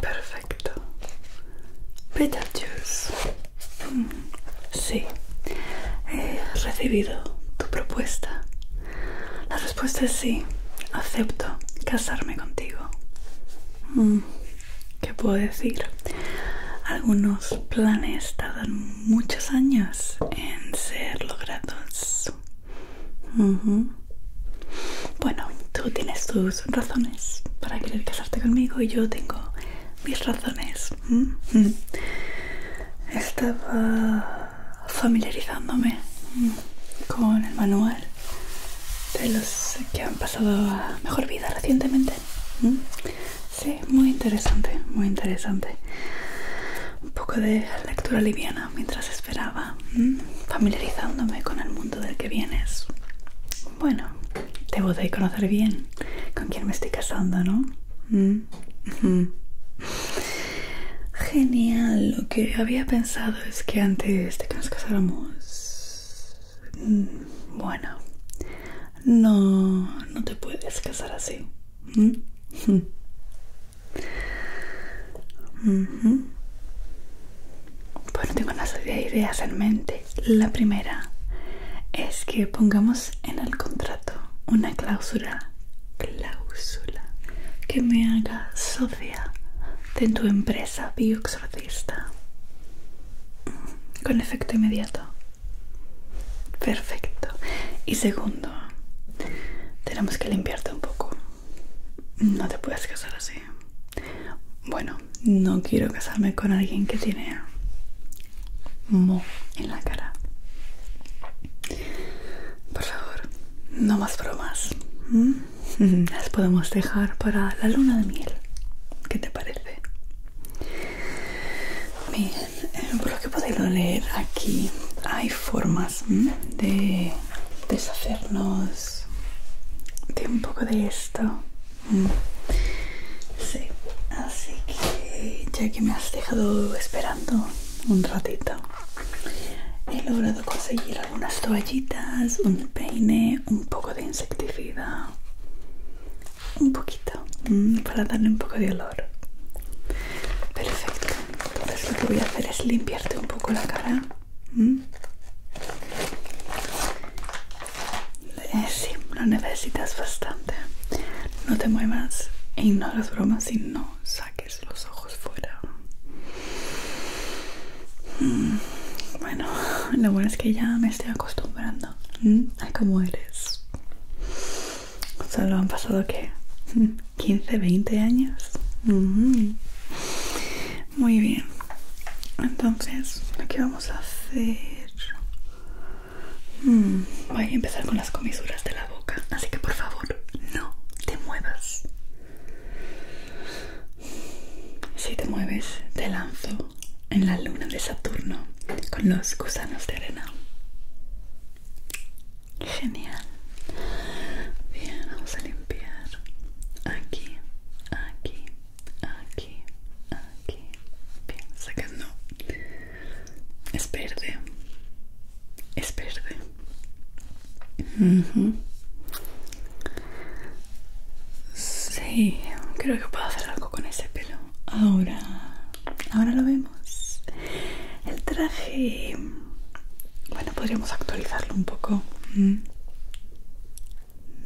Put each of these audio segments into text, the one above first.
Perfecto. Beetlejuice. Mm, sí, he recibido tu propuesta. La respuesta es sí. Acepto casarme contigo. Mm, ¿Qué puedo decir? Algunos planes tardan muchos años en ser logrados. Bueno, tú tienes tus razones para querer casarte conmigo y yo tengo mis razones. Mm, mm. Estaba familiarizándome mm, con el manual de los que han pasado mejor vida recientemente. Sí, muy interesante, muy interesante. Un poco de lectura liviana mientras esperaba, familiarizándome con el mundo del que vienes. Bueno, te voy a conocer bien con quién me estoy casando, ¿no? Genial, lo que había pensado es que antes de que nos casáramos... Bueno, no, no te puedes casar así. Bueno, tengo una serie ideas en mente. La primera es que pongamos en el contrato una cláusula, cláusula que me haga socia de tu empresa bioexorcista con efecto inmediato. Perfecto. Y segundo, tenemos que limpiarte un poco. No te puedes casar así. Bueno, no quiero casarme con alguien que tiene mo en la cara. Por favor, no más bromas. Las podemos dejar para la luna de miel. ¿Qué te parece? Bien, eh, por lo que podéis leer aquí hay formas de deshacernos de un poco de esto. Sí, así que ya que me has dejado esperando un ratito, he logrado conseguir algunas toallitas, un peine, un poco de insecticida, un poquito, para darle un poco de olor. Perfecto. Entonces lo que voy a hacer es limpiarte un poco la cara. Eh, sí, lo necesitas bastante. No te muevas y no las bromas y no saques los ojos fuera. Mm, bueno, lo bueno es que ya me estoy acostumbrando a cómo eres. ¿Solo han pasado que 15, 20 años. Muy bien. Entonces, ¿qué vamos a hacer... Mm, voy a empezar con las comisuras de la boca, así que por favor, no te muevas. Si te mueves, te lanzo en la luna de Saturno con los gusanos de arena. Genial. Bien, vamos a limpiar aquí, aquí, aquí, aquí. Bien, sacando Es verde. Es verde. Sí, creo que puedo hacer algo con ese pelo. Ahora, ahora lo vemos. El traje bueno, podríamos actualizarlo un poco. Mm.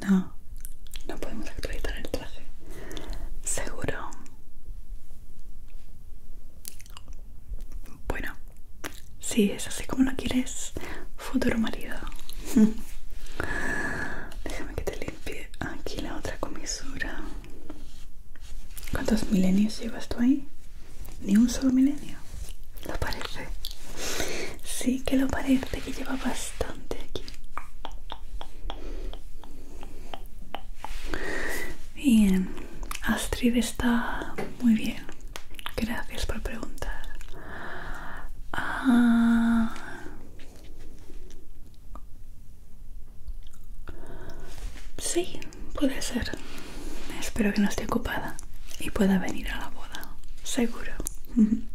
No, no podemos actualizar el traje. Seguro. Bueno, si es así como lo quieres, futuro marido. Déjame que te limpie aquí la otra comisura. ¿Cuántos milenios llevas tú ahí? ni un solo milenio. ¿Lo parece? Sí que lo parece, que lleva bastante aquí. Bien, Astrid está muy bien. Gracias por preguntar. Ah, sí, Puede ser. Espero que no esté ocupada y pueda venir a la boda. Seguro. Bien,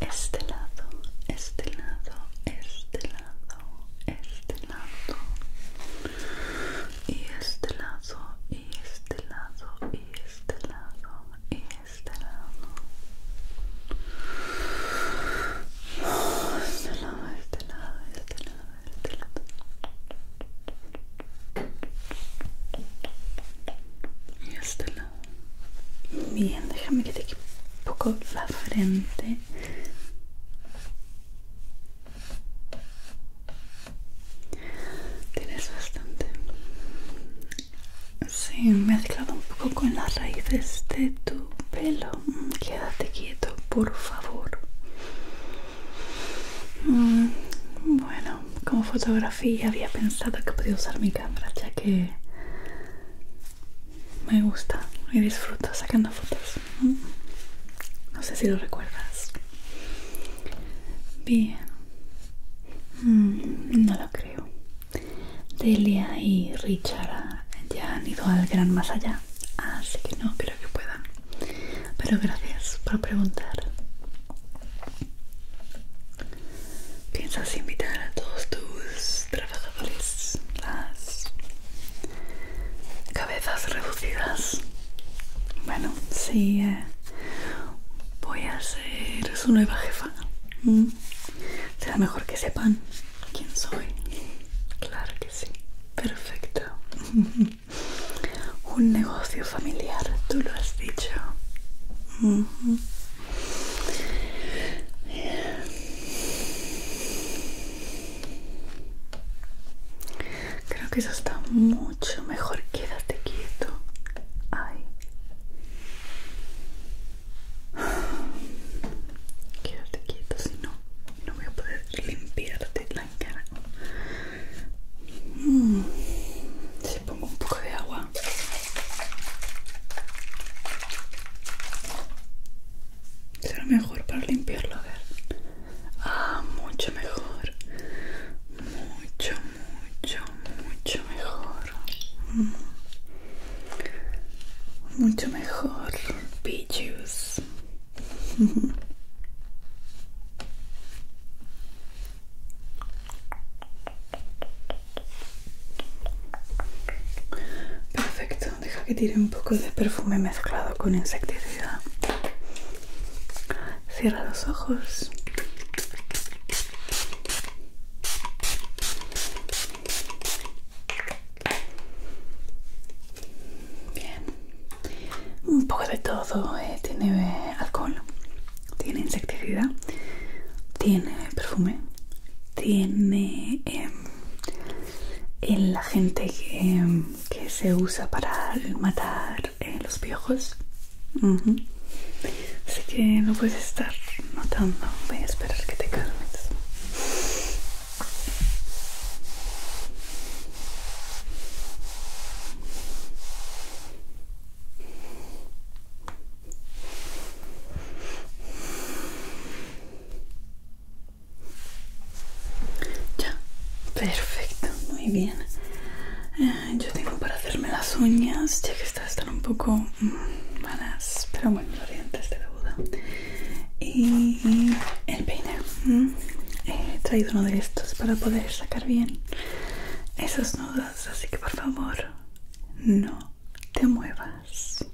este lado, este lado, este lado, este lado. Y este lado, este este y este lado, y este lado, y este lado. Este lado, este lado, este lado, este lado. Y este lado. Bien, déjame que te quede un poco la frente. Tienes bastante. Sí, mezclado un poco con las raíces de tu pelo quédate quieto, por favor. Mm, bueno, como fotografía había pensado que podía usar mi cámara, ya que me gusta y disfruto sacando fotos. No sé si lo recuerdas. Bien. Mm, no lo creo. Delia y Richard ya han ido al gran más allá, así que no creo que puedan. Pero gracias por preguntar. ¿Piensas invitar a todos tus trabajadores, las cabezas reducidas? Bueno, sí, eh, voy a ser su nueva jefa. Mm. Será mejor que sepan quién soy. Claro que sí. Perfecto. Un negocio familiar, tú lo has dicho. Creo que eso está mucho mejor. Quédate quieto. Ay. Quédate quieto, si no, no voy a poder limpiarte la cara. Mm. Si pongo un poco de agua. Será mejor para limpiarlo, a ver. Ah, mucho mejor. Mucho, mucho, mucho mejor. Mm mucho mejor Pichus perfecto deja que tire un poco de perfume mezclado con insecticida cierra los ojos Bien. Un poco de todo. Eh, tiene alcohol, tiene insecticida, tiene perfume, tiene em, el agente em, que, se usa para matar eh, los viejos, Así que lo puedes estar notando. Voy a esperar que te calmes. Ya, perfecto, muy bien. Eh, yo tengo para hacerme las uñas, ya que estas están un poco mm, malas, pero bueno, los de de la y el peine he traído uno de estos para poder sacar bien esas nudos así que por favor no te muevas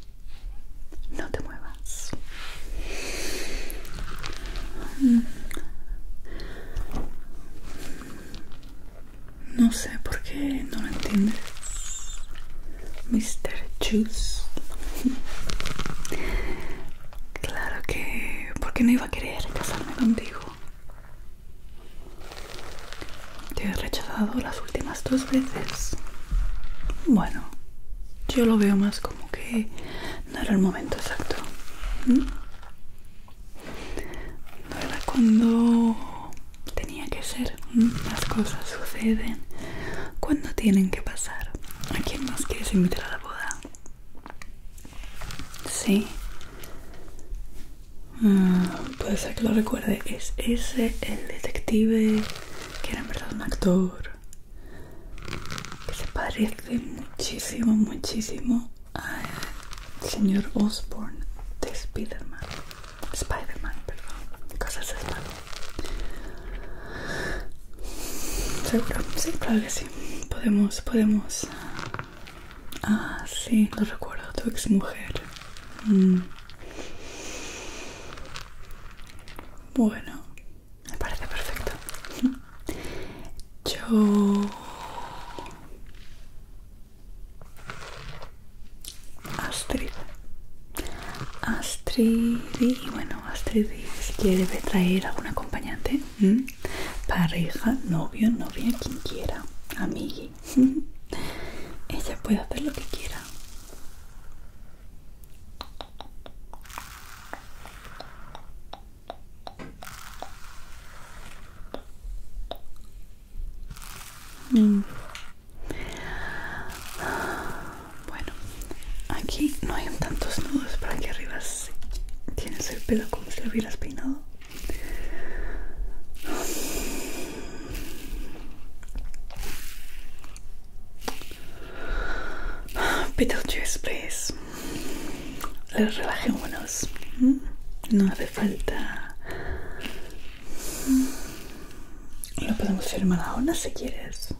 no te muevas mm. no sé por qué no lo entiendes Mr. Juice. Claro que... porque no iba a querer casarme contigo? Te he rechazado las últimas dos veces. Bueno, yo lo veo más como que no era el momento exacto. ¿Mm? No era cuando tenía que ser. ¿Mm? Las cosas suceden cuando tienen que pasar. ¿A quién más quieres invitar a la boda? Sí. Ah, puede ser que lo recuerde. ¿Es ese el detective que era en verdad un actor? Que se parece muchísimo, muchísimo al señor Osborne de Spider-Man. Spider-Man, perdón. Cosas de ¿Seguro? Sí, claro que sí. Podemos, podemos. Ah, sí, lo recuerdo, tu ex mujer. Mm. Bueno, me parece perfecto. Yo... Astrid. Astrid y bueno, Astrid quiere que debe traer algún acompañante, pareja, novio, novia, quien quiera, amigui. Ella puede hacer lo que quiera. Mm. Bueno, aquí no hay tantos nudos, para aquí arriba tienes el pelo como si lo hubieras peinado. Beetlejuice, please. Les relajémonos. Mm, no hace falta. Mm. Lo podemos hacer firmar ahora si quieres.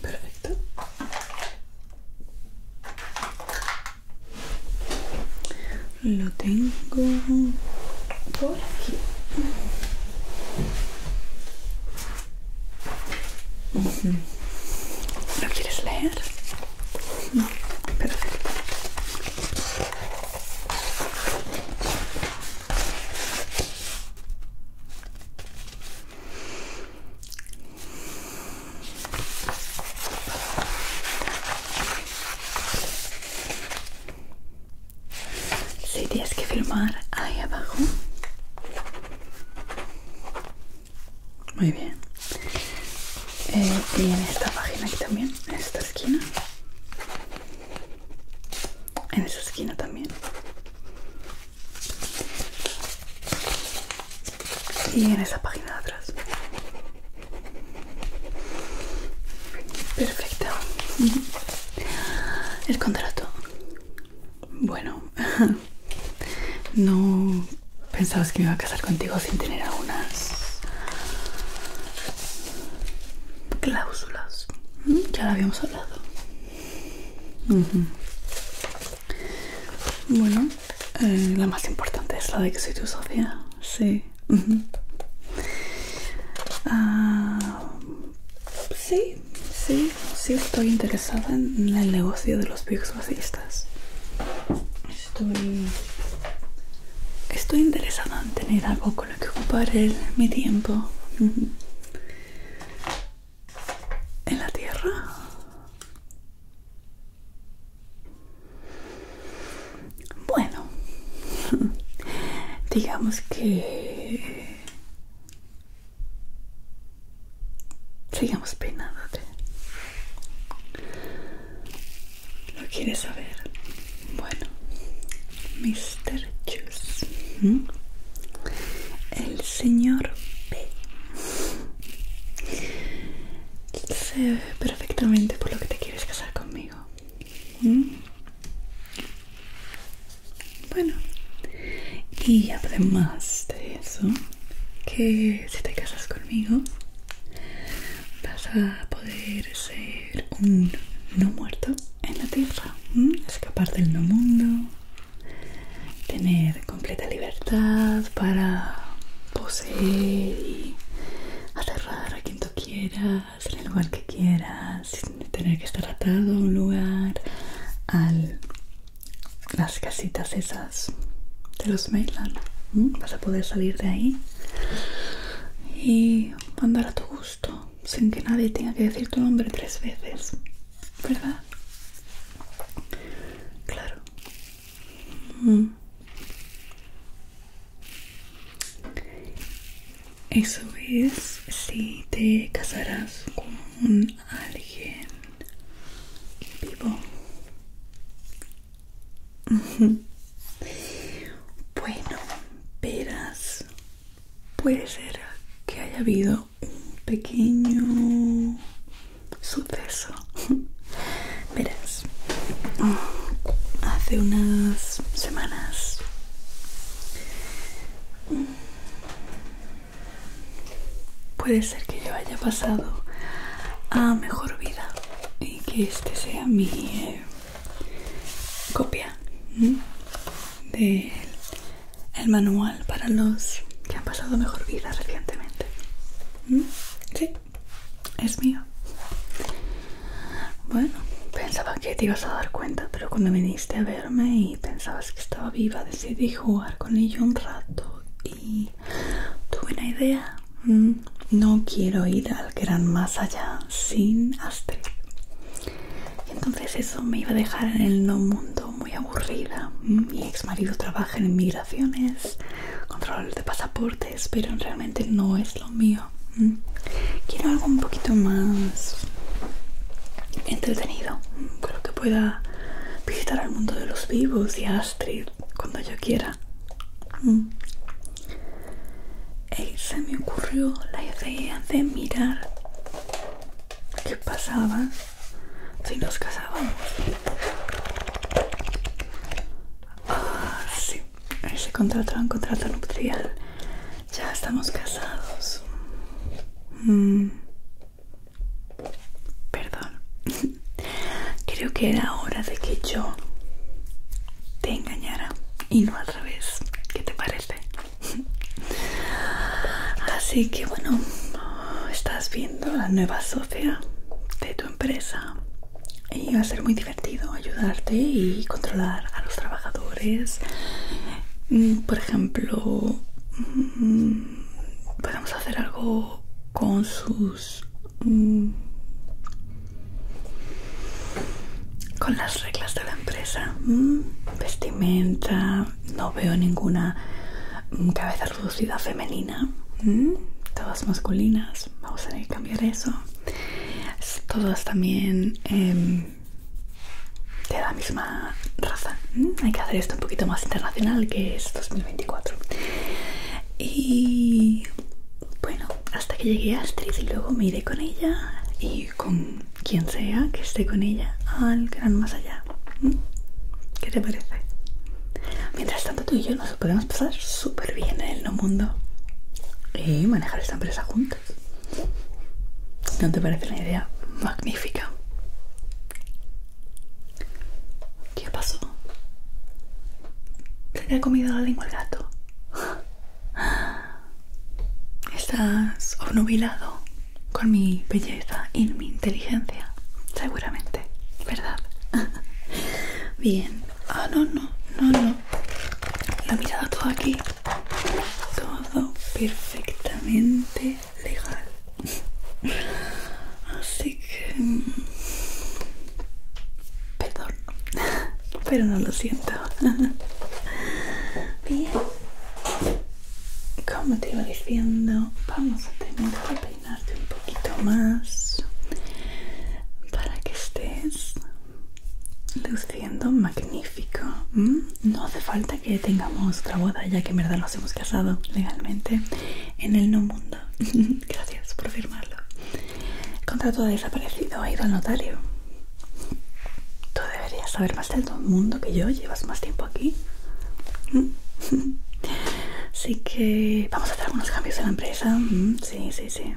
Perfecto. Lo tengo por aquí. ¿Lo quieres leer? No, perfecto. Si tienes que filmar ahí abajo. Muy bien. Eh, y en esta página aquí también, en esta esquina en esa esquina también y en esa página de atrás perfecto el contrato bueno no pensabas que me iba a casar contigo sin tener algunas cláusulas ya lo habíamos hablado bueno, eh, la más importante es la de que soy tu socia. Sí. Ah, sí, sí, sí estoy interesada en el negocio de los bioexorcistas. Estoy... Estoy interesada en tener algo con lo que ocupar mi tiempo en la tierra bueno digamos que sigamos peinándote lo quieres saber bueno mister ¿Mm? el señor P ve perfectamente por lo que te quieres casar conmigo ¿Mm? bueno y además de eso que si te casas conmigo vas a poder ser un no muerto en la tierra, escapar del no mundo, tener completa libertad para poseer y aterrar a quien tú quieras, en el lugar que quieras, sin tener que estar atado a un lugar, a las casitas esas de los mailan Vas a poder salir de ahí y andar a tu gusto sin que nadie tenga que decir tu nombre tres veces, ¿verdad? Claro. Mm. Eso es si te casarás con alguien vivo. Bueno, verás, puede ser que haya habido un pequeño suceso. Verás, hace unas semanas puede ser que yo haya pasado a mejor vida y que este sea mi eh, copia De el manual para los que han pasado mejor vida recientemente. ¿Mm? Sí, es mío. Bueno, pensaba que te ibas a dar cuenta, pero cuando viniste a verme y pensabas que estaba viva, decidí jugar con ello un rato y tuve una idea. ¿Mm? No quiero ir al gran más allá sin Astrid entonces eso me iba a dejar en el no mundo muy aburrida. Mi ex marido trabaja en migraciones, control de pasaportes, pero realmente no es lo mío. Mm. Quiero algo un poquito más entretenido, mm, creo que pueda visitar al mundo de los vivos y Astrid cuando yo quiera. Mm. se me ocurrió la idea de mirar ¿Qué pasaba si nos casábamos? Ah, sí, contrato era un contrato nupcial. Ya estamos casados. Mm. Perdón. Creo que era hora de que yo te engañara y no al revés. ¿Qué te parece? Así que bueno, estás viendo la nueva socia de tu empresa y va a ser muy divertido ayudarte y controlar a los trabajadores. Mm, por ejemplo, mm, podemos hacer algo con sus mm, con las reglas de la empresa vestimenta no veo ninguna cabeza reducida femenina, ¿Mm? todas masculinas. Vamos a cambiar eso. Todas también em, de la misma raza. ¿Mm? Hay que hacer esto un poquito más internacional que es 2024. Y bueno, hasta que llegué a Astrid y luego me iré con ella y con quien sea que esté con ella al gran más allá. ¿Mm? ¿Qué te parece? Mientras tanto tú y yo nos podemos pasar súper bien en el no mundo y manejar esta empresa juntas. ¿No te parece una idea magnífica? ¿Qué pasó? ¿Se te ha comido la lengua el gato? ¿Estás obnubilado? con mi belleza y mi inteligencia, seguramente, ¿verdad? Bien, ah, no, no, no, no, La mirada mirado todo aquí, todo perfectamente legal. Así que. Mm, perdón, pero no lo siento. Bien como te iba diciendo vamos a tener que peinarte un poquito más para que estés luciendo magnífico no hace falta que tengamos otra boda ya que en verdad nos hemos casado legalmente en el no mundo gracias por firmarlo contrato desaparecido ha ido al notario tú deberías saber hasta todo el mundo que yo, llevas más tiempo aquí. Así que vamos a hacer algunos cambios en la empresa. Mm, sí, sí, sí.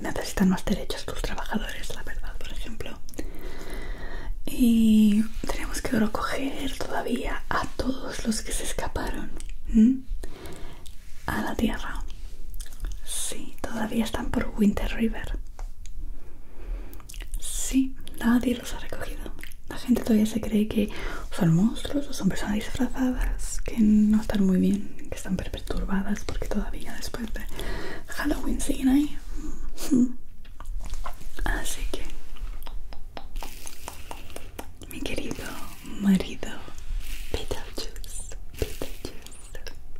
Necesitan más derechos tus trabajadores, la verdad, por ejemplo. Y tenemos que recoger todavía a todos los que se escaparon a la Tierra. Sí, todavía están por Winter River. Sí, nadie los ha recogido. La gente todavía se cree que son monstruos o son personas disfrazadas que no están muy bien, que están perturbadas porque todavía después de Halloween siguen ahí. Así que, mi querido marido, Beetlejuice,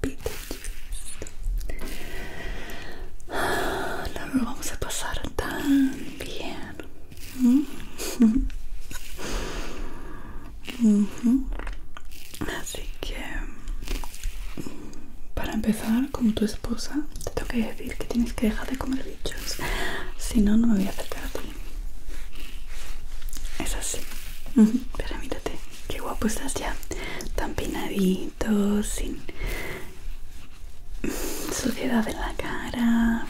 Beetlejuice, no ah, lo vamos a pasar tan bien mm. así que para empezar como tu esposa te tengo que decir que tienes que dejar de comer bichos si no no me voy a acercar a ti es así pero qué guapo estás ya tan peinadito sin suciedad en la cara.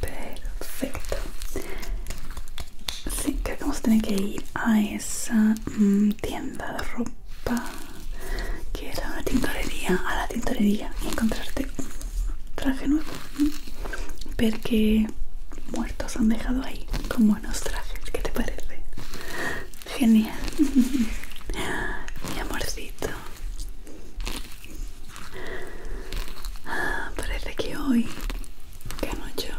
Perfecto. creo que vamos a tener que ir a esa mm, tienda de ropa que era la tintorería, a la tintorería y encontrarte un traje nuevo. Porque muertos han dejado ahí con buenos trajes. ¿Qué te parece? Genial. Mi amorcito. Ah, parece que hoy que yo.